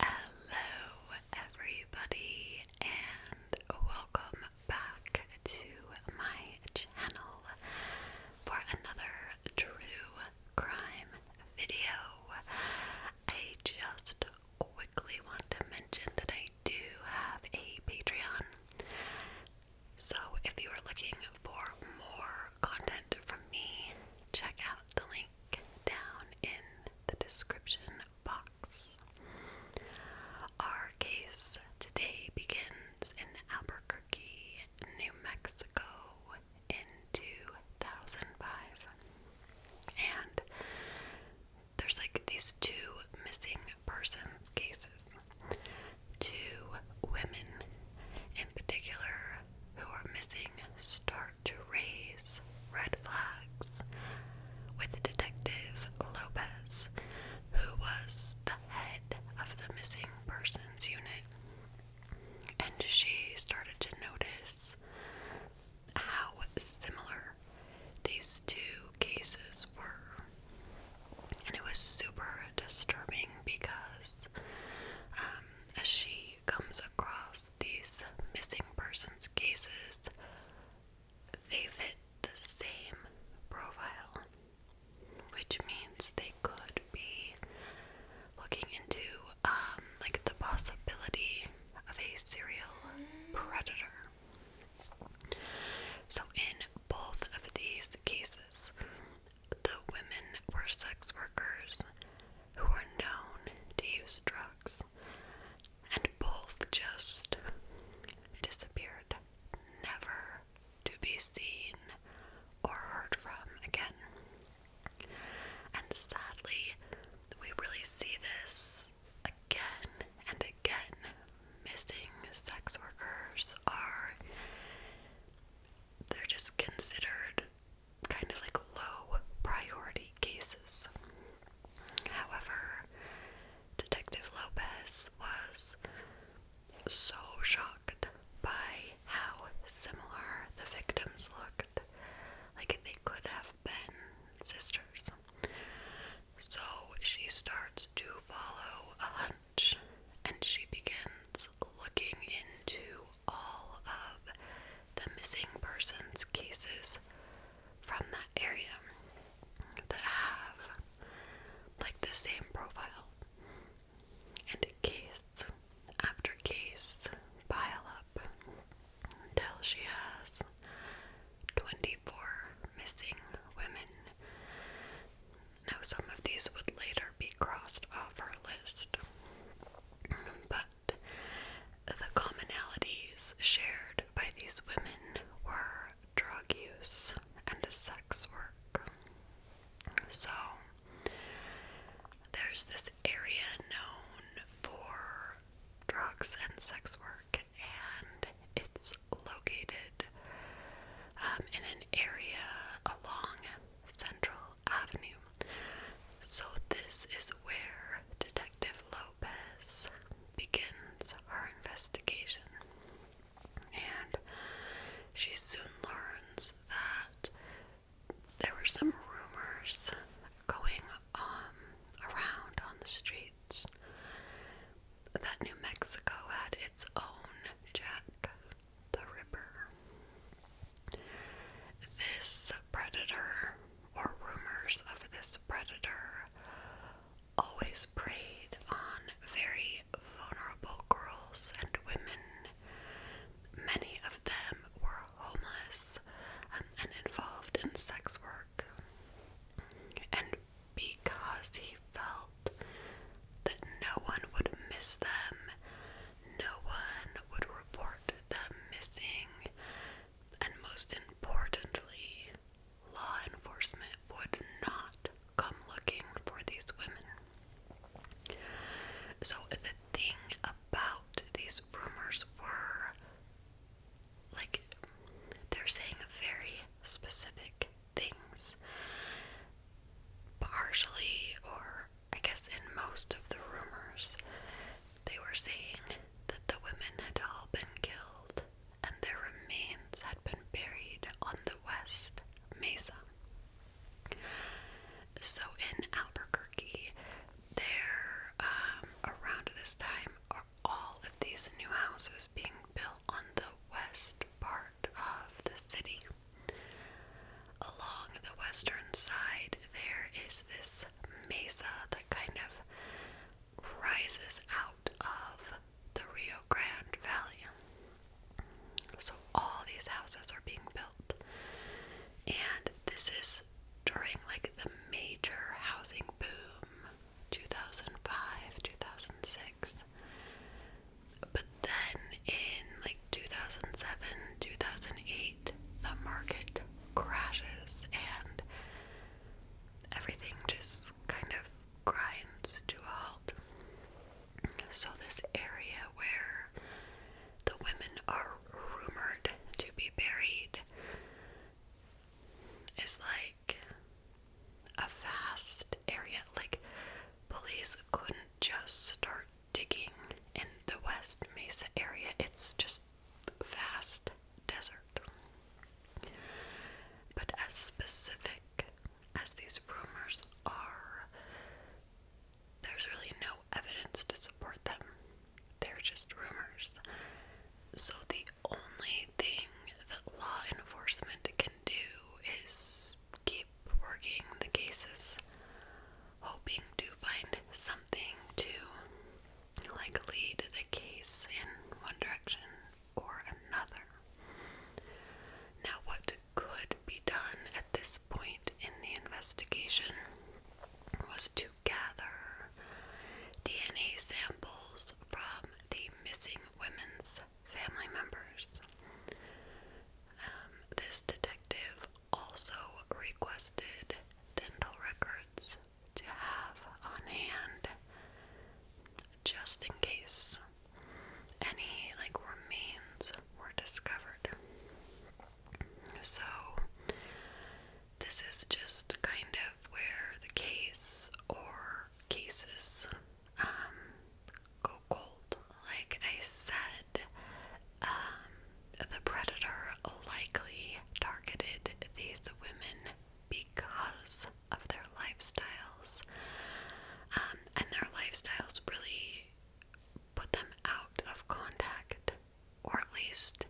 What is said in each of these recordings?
Hello, everybody, and welcome back to my channel for another true crime video. I just quickly want to mention that I do have a Patreon, so if you are looking for more content from me, check out the link down in the description box. Our case today begins in Albuquerque, New Mexico in 2005. And there's like these two missing persons cases. Two women in particular who are missing start to raise red flags, with Detective Lopez, who was the head of the missing persons unit. And she started to notice how similar these two cases were. And it was super disturbing because as um, she comes across these missing persons cases, they fit the same profile, which means they could be looking into um, like the possibility of a serial predator. So, in both of these cases, the women were sex workers who are known to use drugs, and both just disappeared, never to be seen or heard from again. And sadly, we really see this again and again. Missing sex workers are. They're just considered kind of like low priority cases. However, Detective Lopez was so shocked by how similar the victims looked, like they could have been sisters. So she starts to follow a hunch and she begins looking into all of the missing persons cases from that area that have like the same profile. And case after case pile up until she has 24 missing women. Now, some of these would later be crossed off her list, but that the commonalities shared by these women were drug use and sex work. So, there's this area known for drugs and sex work, and it's located um, in an area along Central Avenue. So, this is where Detective Lopez begins her investigation. And she soon learns that there were some rumors going around on the streets that New Mexico had its own Jack the Ripper. This predator, or rumors of this predator, always preyed on very vulnerable girls and women. Many of them were homeless um, and involved in sex work. And because he felt that no one would miss them, no one would report them missing, and most importantly, law enforcement would not come looking for these women. So, the thing about these rumors were like they're saying very specific things, partially or I guess in most of the rumors, they were saying that the women had all been killed and their remains had been buried on the West Mesa. So in Albuquerque, there, um, around this time, are all of these new houses being built on the west part of the city. Along the western side, there is this mesa that kind of rises out of the Rio Grande Valley. So, all these houses are being built, and this is during like the major housing boom 2005, 2006. But then in like 2007, 2008, the market crashes and everything just kind of grinds to a halt. So, this area where the women are rumored to be buried is like a vast area. Like, police couldn't just start digging in the West Mesa area. It's just vast desert. But as specific as these rumors are, there's really no evidence to support them. They're just rumors. So the only thing that law enforcement can do is keep working the cases hoping to find something to like lead the case in one direction or another. Now, what could be done at this point in the investigation was to gather DNA samples from the missing women's family members. Um, this detective also requested dental records to have on hand just in case any like remains were discovered. So this is just kind of where the case or cases um, go cold like I said, um, the predator likely targeted these women because of their lifestyles. Um, and their lifestyles really put them out of contact, or at least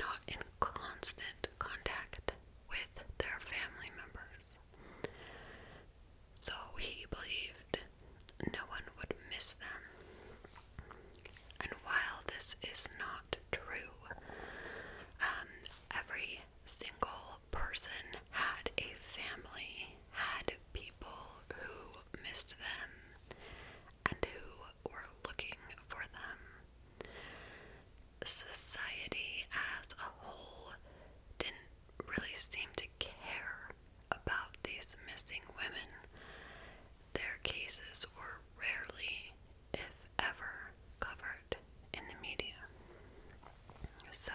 not in constant contact with their family members. So he believed no one would miss them. And while this is not true, um, every single person had a family, had people who missed them and who were looking for them. Society as a whole didn't really seem to care about these missing women, their cases were rarely, if ever, covered in the media. So,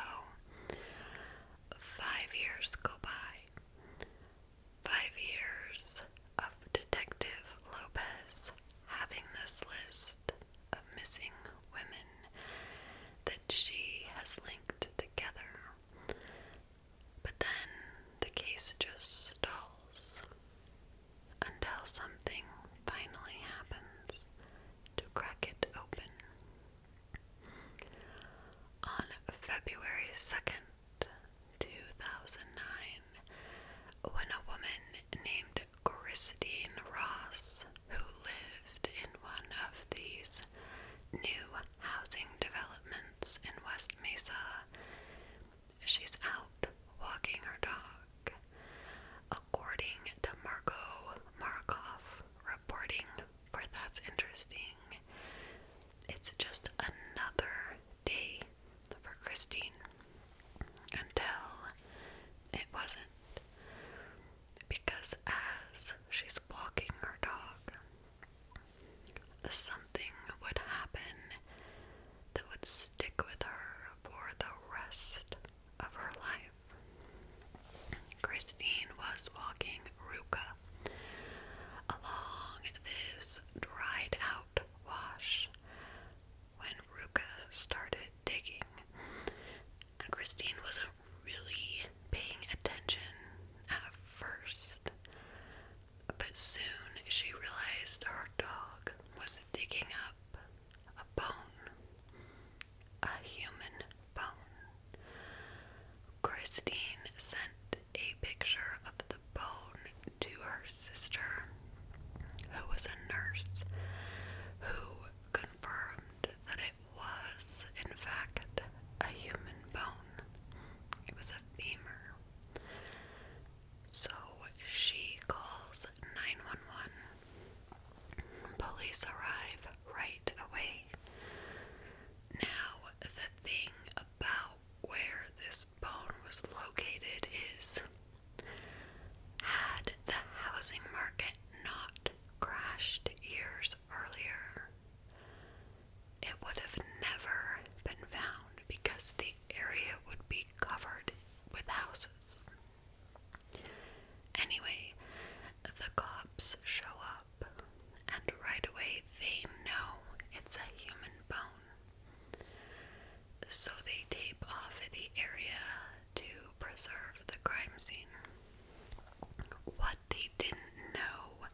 five years go by. Five years of Detective Lopez having this list of missing women that she has linked together but then the case just stalls until something finally happens to crack it open. On February 2nd, 2009, when a woman named Christine Ross, who lived in one of these new housing developments in West Mesa. She's out walking her dog. According to Margot Markov reporting, for that's interesting, it's just another day for Christine until it wasn't. Because as she's walking her dog, something would happen that would stick with her for the rest of her life. Christine was walking Ruka along this dried out wash when Ruka started digging. And Christine was really paying attention at first, but soon she realized her dog was digging up a bone, a human bone. Christine sent a picture of the bone to her sister, who was a nurse, who confirmed that it was, in fact, a human bone. It was a femur. So she calls 911. Police arrive right away. Now, the thing about where this bone was located is had the housing market not crashed years earlier, it would have never been found because the area would be covered with houses. Anyway, the cops show up, and right away they know it's a human bone. So they tape off the area to preserve the crime scene what they didn't know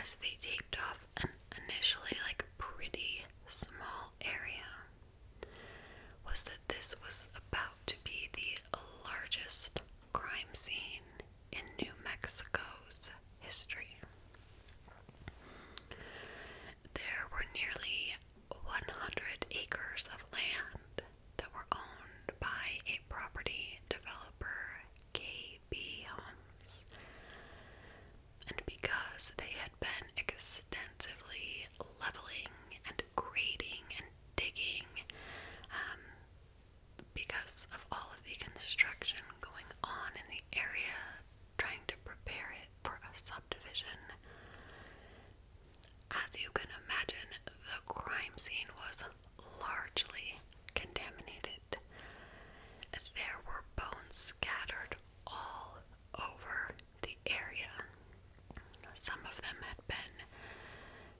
as they taped off an initially like pretty small area was that this was about to be the largest crime scene in New Mexico's history. There were nearly 100 acres of land that were owned by a property developer, K. B.B. Holmes. And because they had been extensively leveling and grading and digging, um, because of all of the construction going on in the area, trying to prepare it for a subdivision, as you can imagine, the crime scene was largely contaminated. There were bones scattered all over the area. Some of them had been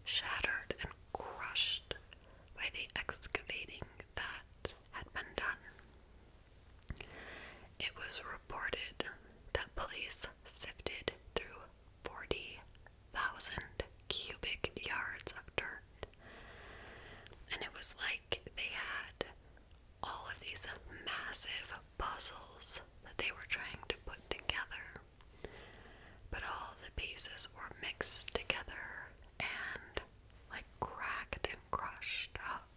shattered and crushed by the excavating that had been done. It was reported that police sifted through 40 thousand cubic yards of dirt. And it was like they had all of these massive puzzles that they were trying to put together. But all the pieces were mixed together and like cracked and crushed up.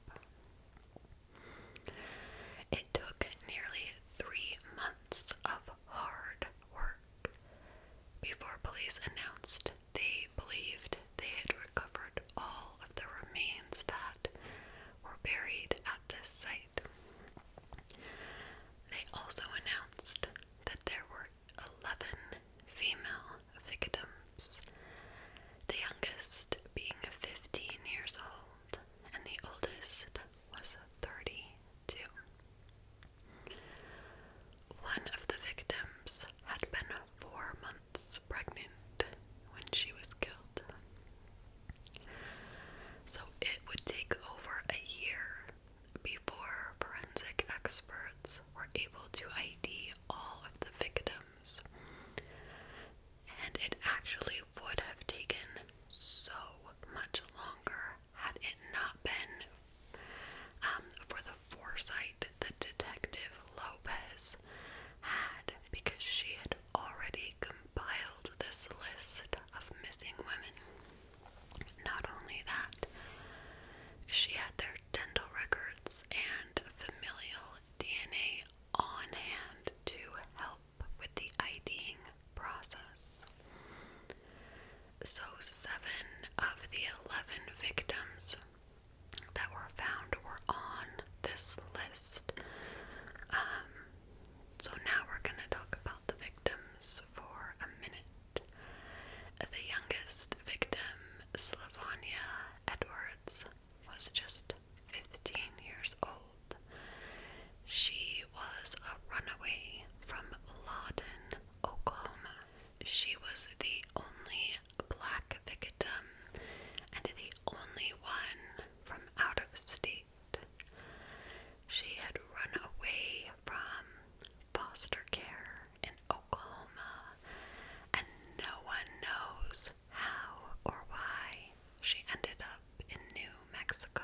It took nearly three months of hard work before police announced they believed they had recovered all of the remains that were buried at this site. They also announced that there were 11 female victims, the youngest being 15 years old, and the oldest was 32. One of the victims had been four months pregnant when she was killed. So it would take over a year before forensic experts were able to ID all of the victims. And it actually would have taken so much longer had it not been um, for the foresight that Detective Lopez had, because she had already compiled this list of missing women. Not only that, she had their dental records and familial DNA on hand to help with the IDing process. So, seven of the 11 victims that were found were on this list. Um, so, now we're going to talk about the victims for a minute. The youngest victim, Slavania Edwards, was just 15 years old. She was a runaway from Lawton, Oklahoma. She was the only black victim and the only one from out of state. She had run away from foster care in Oklahoma, and no one knows how or why she ended up in New Mexico.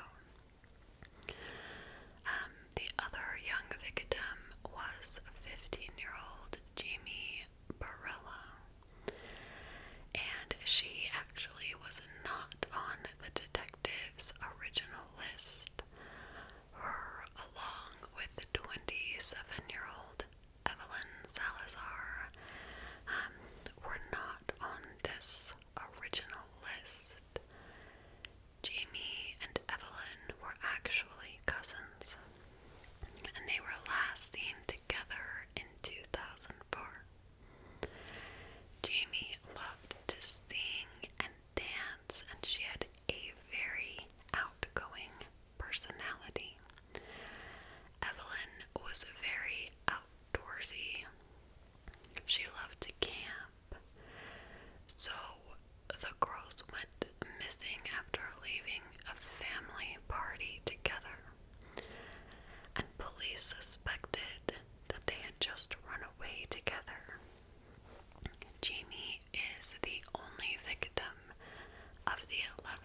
Um, the other young victim was 15-year-old Jamie Barella, and she actually was not on the detective's original list. Her, along with the 27-year-old Evelyn Salazar, um, were not on this original list. Jamie and Evelyn were actually cousins, and they were last seen together in 2004. Jamie loved to sing and dance, and she had a very outgoing personality. Evelyn was very outdoorsy. She loved to camp so the girls went missing after leaving a family party together, and police suspected that they had just run away together. Jamie is the only victim of the 11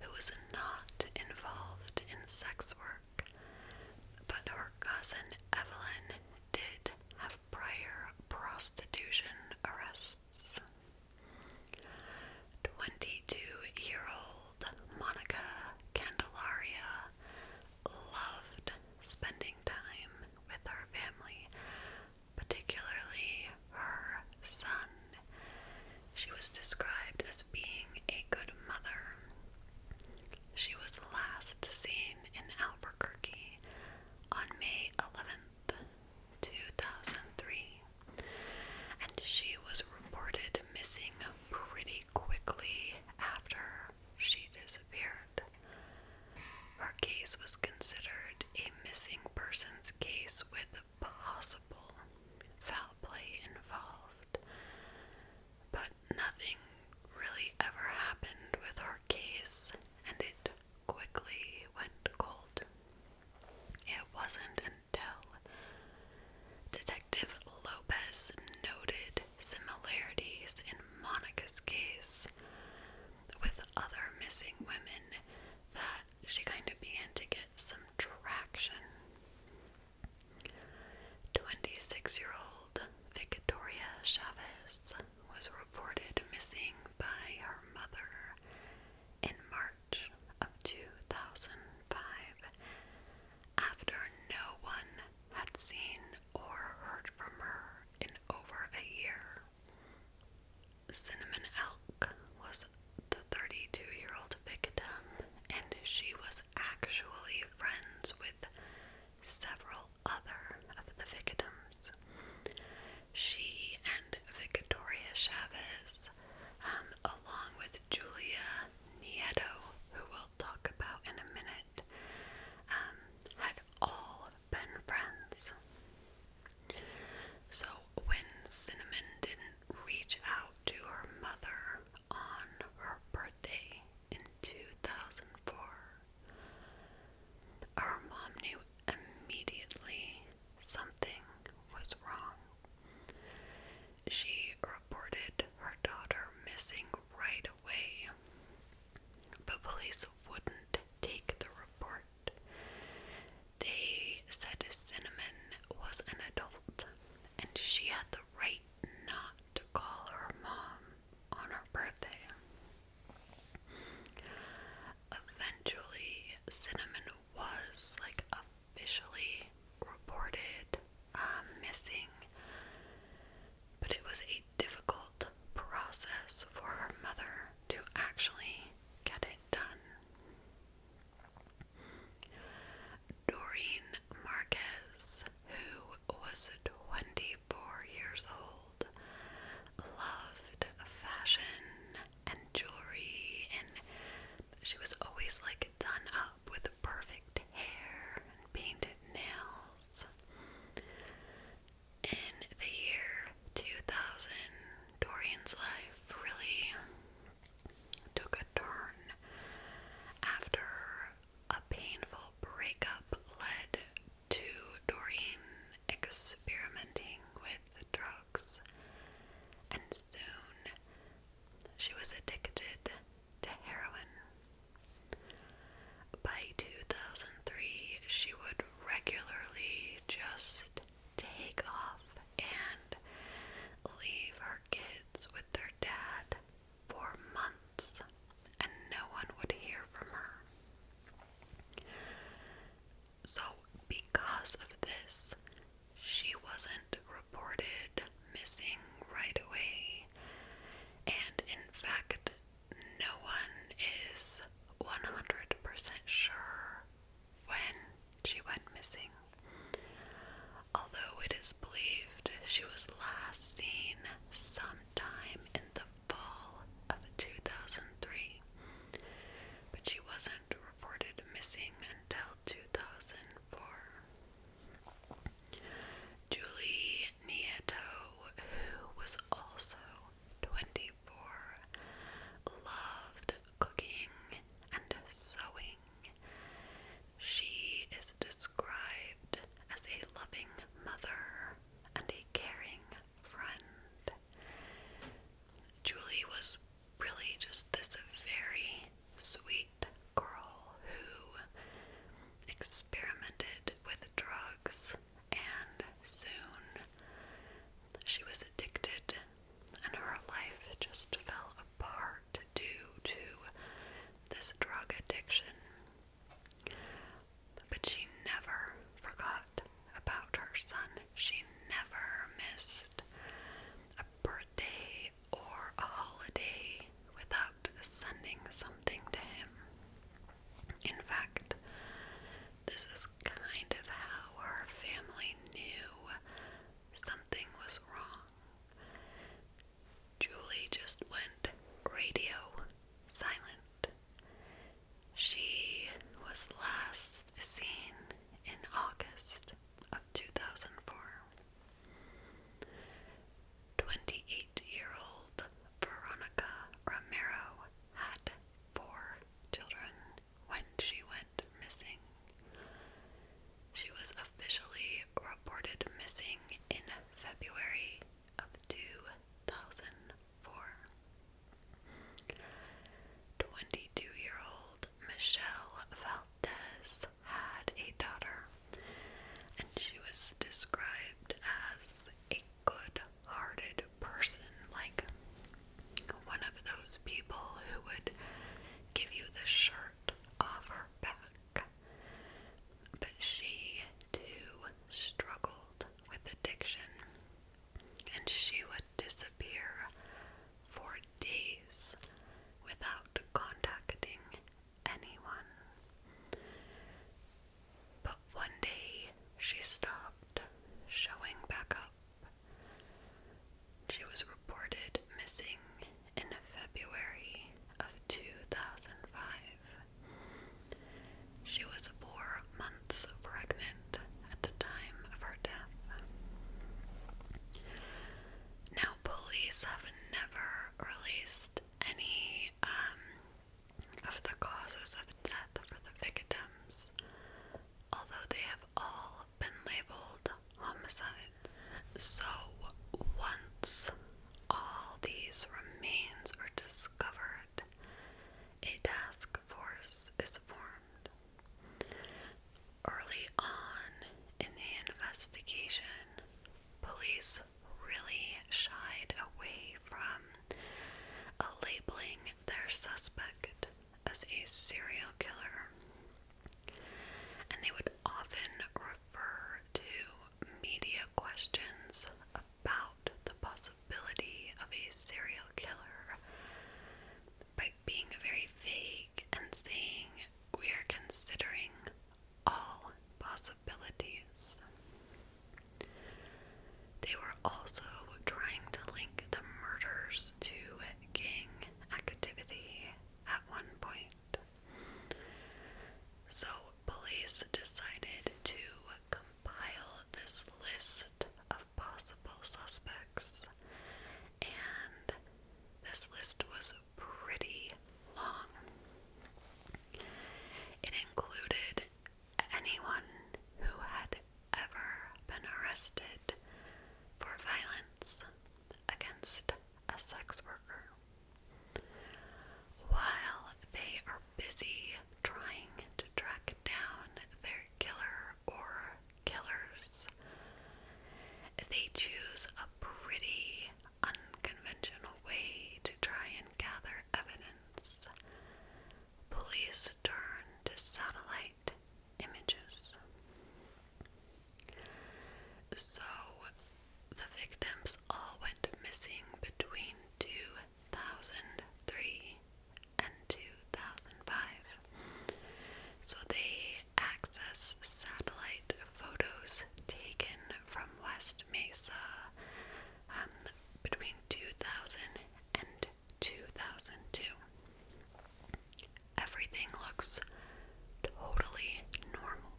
who was not involved in sex work, but her cousin Evelyn did have prior prostitution arrests. 22 year old Monica Candelaria loved spending time with her family, particularly her son. She was described as being a good mother. She was last seen in Albuquerque on May 11th, 2003, and she was reported missing pretty quickly after she disappeared. Her case was considered a missing persons case with possible foul play involved, but nothing really ever happened with her case, and it quickly went cold. It wasn't until Detective Lopez noted similarities in Monica's case with other missing women that she kind of began to get some traction. 26 year old Victoria Chavez was reported missing by her mother in March of 2005 after no one had seen or heard from her in over a year. Cinnamon Elk was the 32 year old victim, and she was actually friends with several other of the victims. She and Victoria Chavez, um, along with Julia Nieto, who we'll talk about in a minute, um, had all been friends. So when Cinnamon didn't reach out to her mother on her birthday in 2004, our mom knew immediately something was wrong. She reported her daughter missing right away, but police wouldn't take the report. They said Cinnamon was an adult and she had the right not to call her mom on her birthday. Eventually, Cinnamon was like officially reported um, missing, but it was a difficult process for her mother to actually get it done. Doreen Marquez who was 24 years old, loved fashion and jewelry, and she was always like done up with perfect hair and painted nails. In the year 2000, Dorian's life really took a turn after a painful breakup led to Doreen experimenting with drugs, and soon she was addicted to heroin. By 2003, she would regularly just take off and leave her kids with their dad for months, and no one would hear from her. So, because of this, she wasn't reported missing right away, and in fact, no one is 100% sure when she went missing. Although it is believed she was last seen sometime in the fall of 2003, but she wasn't reported missing until 2004. Julie Nieto, who was also 24, loved cooking and sewing. She is described as a loving mother and a caring friend. Julie was really just this very sweet girl who experimented with drugs and soon she was addicted and her life just fell apart due to this drug addiction but she never forgot about her son. She never missed a birthday or a holiday without sending something to him. In fact, this is kind of how her family knew something was wrong. Julie just went radio silent. She was last seen in August of 2004. 28 year old Veronica Romero had four children when she went missing. She was officially reported missing in February of 2004. year old Michelle Valdez had a daughter, and she was described as a good hearted person, like one of those people who would give you the shirt off her back. But she too struggled with addiction and she would disappear for days without contacting anyone. But one day she stopped showing back up. She was reported missing in February of 2005. She was four months pregnant at the time of her death. Now, police have never released any um, of the causes of death for the victims, although they have all been labeled homicide. So, once all these remains are discovered, a task force is formed. Early on in the investigation, police really shied away from labeling their suspect as a serial killer, and they would often refer to media questions about the possibility of a serial killer by being very vague and saying we are considering all possibilities. They were also trying to link the murders to gang activity at one point. So, police decided to compile this list of possible suspects, and this list was pretty long. It included anyone who had ever been arrested for violence against a sex worker. While they are busy trying to track down their killer or killers, they choose a pretty unconventional way to try and gather evidence. Police turn to satellite images. So, the victims all went missing between 2003 and 2005. So they access satellite photos taken from West Mesa um, between 2000 Everything looks totally normal.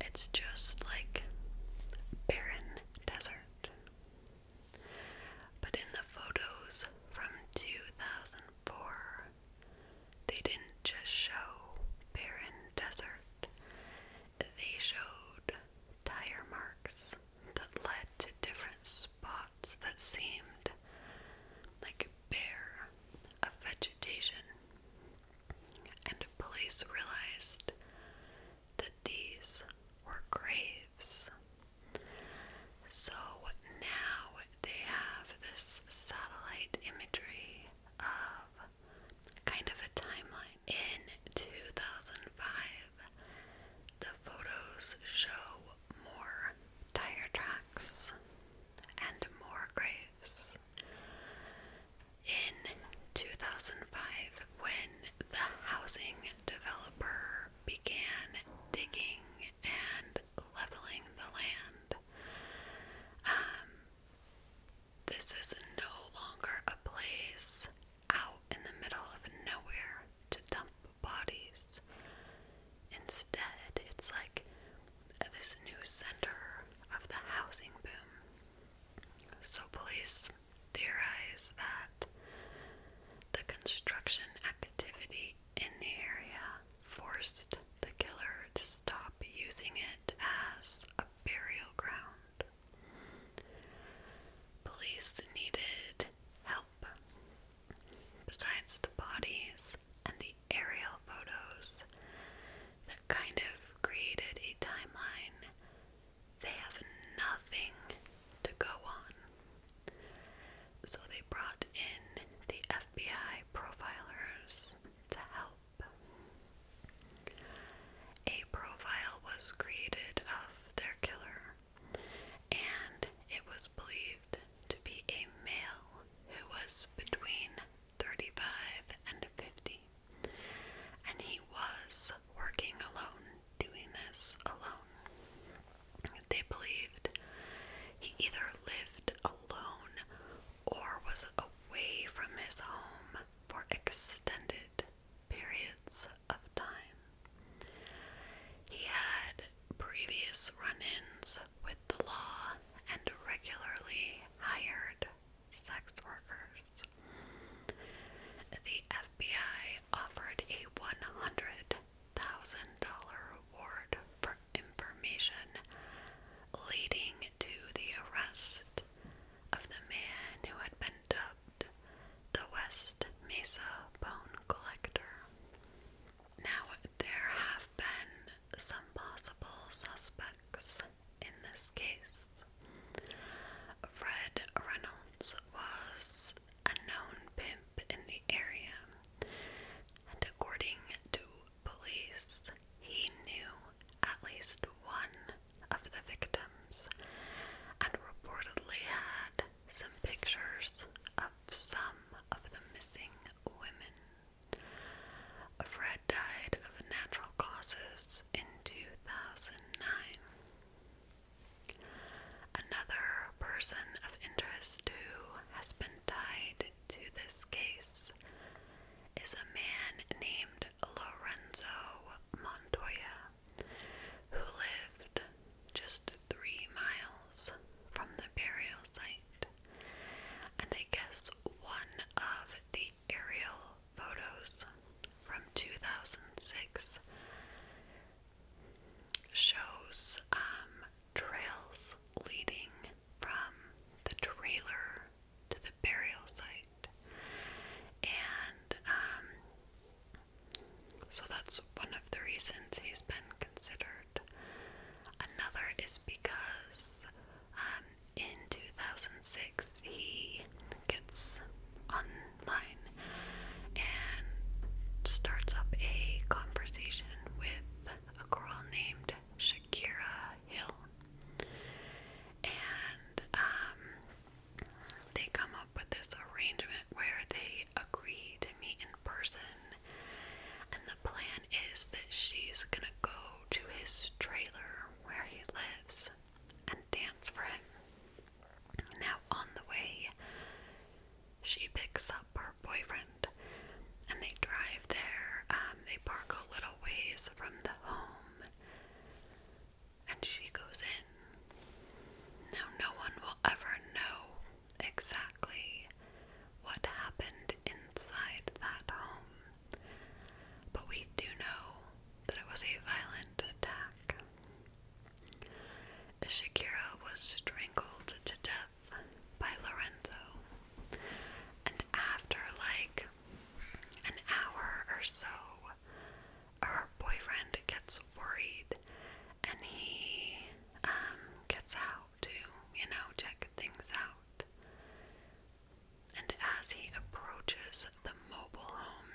It's just like barren desert. But in the photos from 2004, they didn't just show barren desert, they showed tire marks that led to different spots that seemed like bare of vegetation and police realized that these were graves. So now they have this satellite imagery of kind of a timeline. In 2005, the photos show more tire tracks and more graves. In 2005, when the housing developer began digging and leveling the land, um, this is no longer a place out in the middle of nowhere to dump bodies. Instead, it's like this new center of the housing boom. So, police theorize that the construction activity in the area forced the killer to stop using it as a burial ground. Police needed help. Besides the bodies and the aerial photos, that kind of created a timeline. They have nothing to go on. So they brought in the FBI profilers to help. A profile was created of their killer, and it was believed to be a male who was between 35, and 50. And he was working alone, doing this alone. They believed he either lived alone or was away from his home for extended periods of time. He had previous run ins with the law and regularly hired sex workers. The FBI offered a $100,000 reward for information leading to the arrest of the man who had been dubbed the West Mesa Bone Collector. Now, there have been some possible suspects in this case. Fred Reynolds was a known pimp in the area, and according to police, he knew at least one of the victims and reportedly had some pictures of some of the missing women. Fred died of natural causes in 2009. Another person of interest who has been tied to this case is a man named Lorenzo Montoya, who lived just three miles from the burial site. And I guess one of the aerial photos from 2006 shows um, trails leading from the trailer to the burial site. And um, so that's one of the reasons he's been considered. Another is because um, in 2006 he gets online and starts up a conversation with a girl named Shakira Hill. And um, they come up with this arrangement where they agree to meet in person. And the plan is that she's gonna go to his trailer where he lives and dance for him. Now, on the way, she picks up her boyfriend and they drive there. Um, they park a little ways from the home and she goes in. Now, no one will ever know exactly what happened inside that home. But we do know that it was a violent attack. Shakira was strangled to death by Lorenzo, and after like an hour or so, her boyfriend gets worried and he um, gets out to, you know, check things out and as he approaches the mobile home,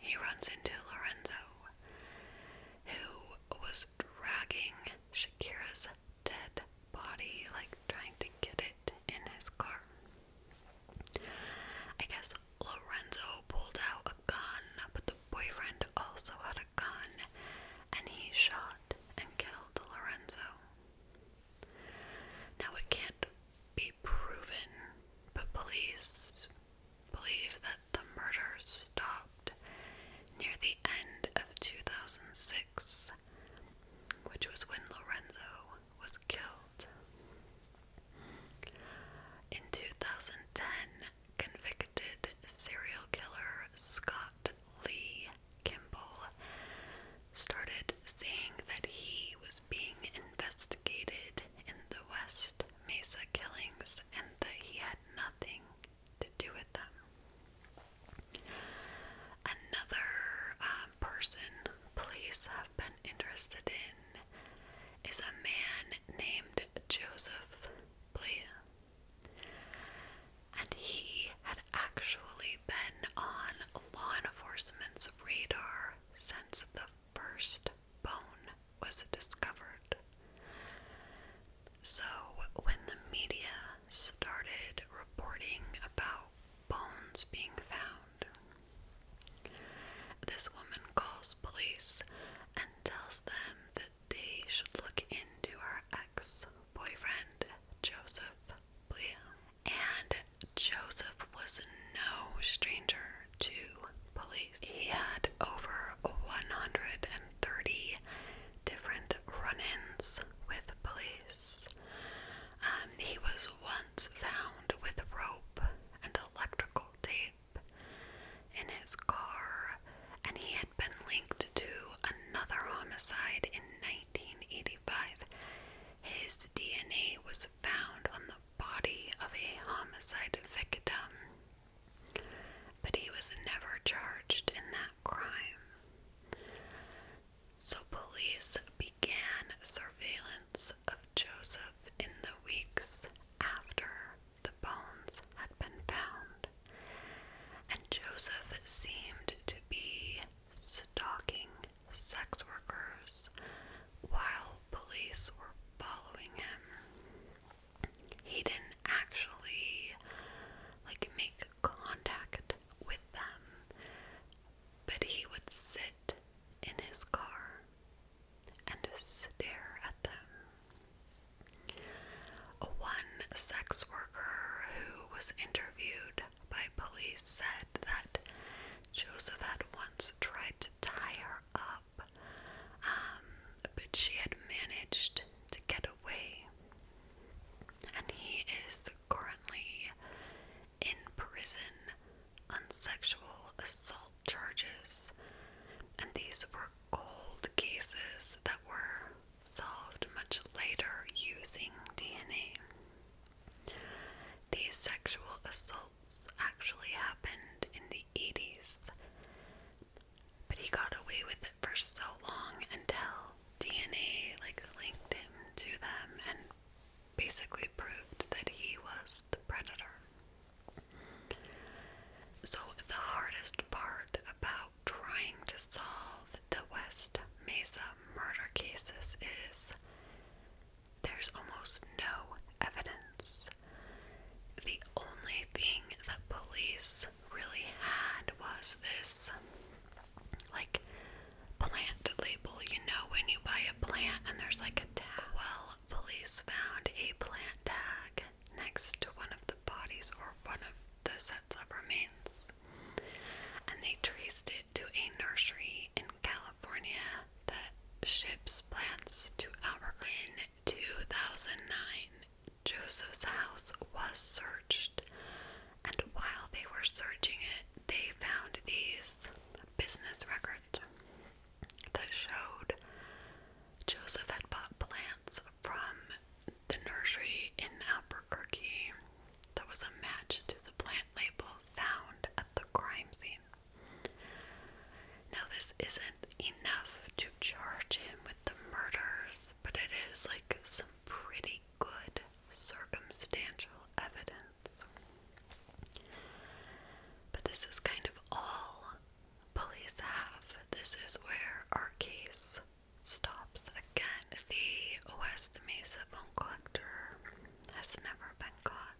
he runs into Lorenzo, who was dragging Shakira's dead body, like trying to get it in his car. I guess Lorenzo pulled out a gun, but the boyfriend also had a gun, and he shot and killed Lorenzo. Now it can't be proven, but police believe that the murders stopped near the end of 2006, which was when Lorenzo was killed. In 2010, convicted serial killer Scott Lee Kimball started saying that he was being investigated in the West Mesa killings and that he had nothing to do with them. Another um, person police have been interested in is a man named Joseph Blea and he had actually been on law enforcement's radar since the first bone was discovered. So, when the media started reporting about bones being found, this woman calls police and tells them that they should look into her ex boyfriend, Joseph Blea. And Joseph was no stranger to police. He had over 130 different run ins with police. Um, he was once found with rope and electrical tape in his car, and he had been linked to another homicide in 1985, his DNA was found on the body of a homicide victim, but he was never charged in that crime. So, police began surveillance of Joseph in the weeks after the bones had been found, and Joseph seemed to be stalking sex workers while police were following him. He didn't actually like make contact with them, but he would sit in his car and stare at them. One sex worker who was interviewed by police said that Joseph had once tried to tie her up, um, but she had managed to get away. And he is currently in prison on sexual assault charges. And these were cold cases that were solved much later using DNA. These sexual assaults actually happened in the 80s, but he got away with it for so long until DNA like linked him to them and basically proved that he was the predator. So the hardest part about trying to solve the West Mesa murder cases is there's almost no evidence. The only thing that police really had was this like plant label. You know, when you buy a plant and there's like a tag. Well, police found a plant tag next to one of the bodies or one of the sets of remains and they traced it to a nursery in California that ships plants to Albuquerque. In 2009, Joseph's house was searched, and while they were searching it, they found these business records that showed Joseph had bought plants from the nursery in Albuquerque that was a match to the plant label found at the crime scene. Now, this isn't enough to charge him with the murders, but it is like some pretty good circumstantial evidence. But this is kind of all police have. This is where our case stops. Again, the West Mesa bone collector has never been caught.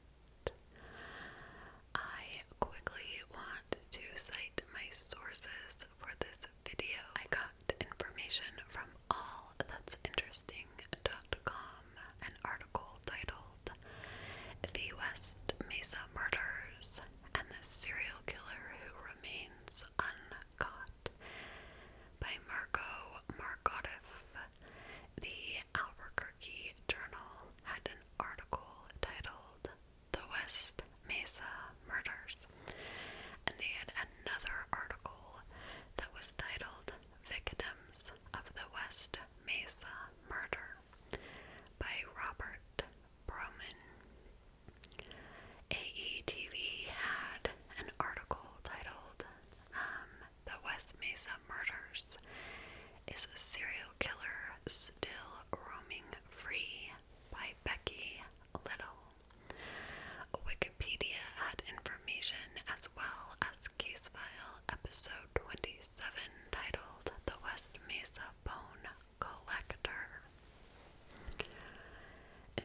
I quickly want to cite my sources for this video. I got information from allthat'sinteresting.com, an article titled The West Mesa Murders and the Serial Killer Who Remains Unsolved by Marco Margotif. The Albuquerque Journal had an article titled The West Mesa Murders, and they had another article that was titled Victims of the West Mesa Murder by Robert Broman. AETV had an article titled um, The West Mesa Murders Is a Serial Killer Still Roaming Free by Becky Little. Wikipedia had information as well as case file episode 27 titled The West Mesa Bone Collector.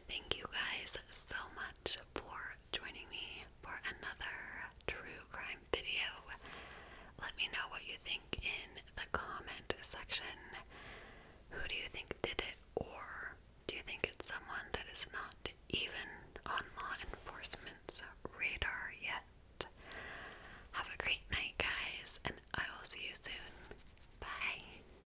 Thank you guys so much for joining me for another true crime video. Let me know what you think in the comment section. Who do you think did it, or do you think it's someone that is not even on law enforcement's radar yet? Have a great night, guys, and I will see you soon. Bye.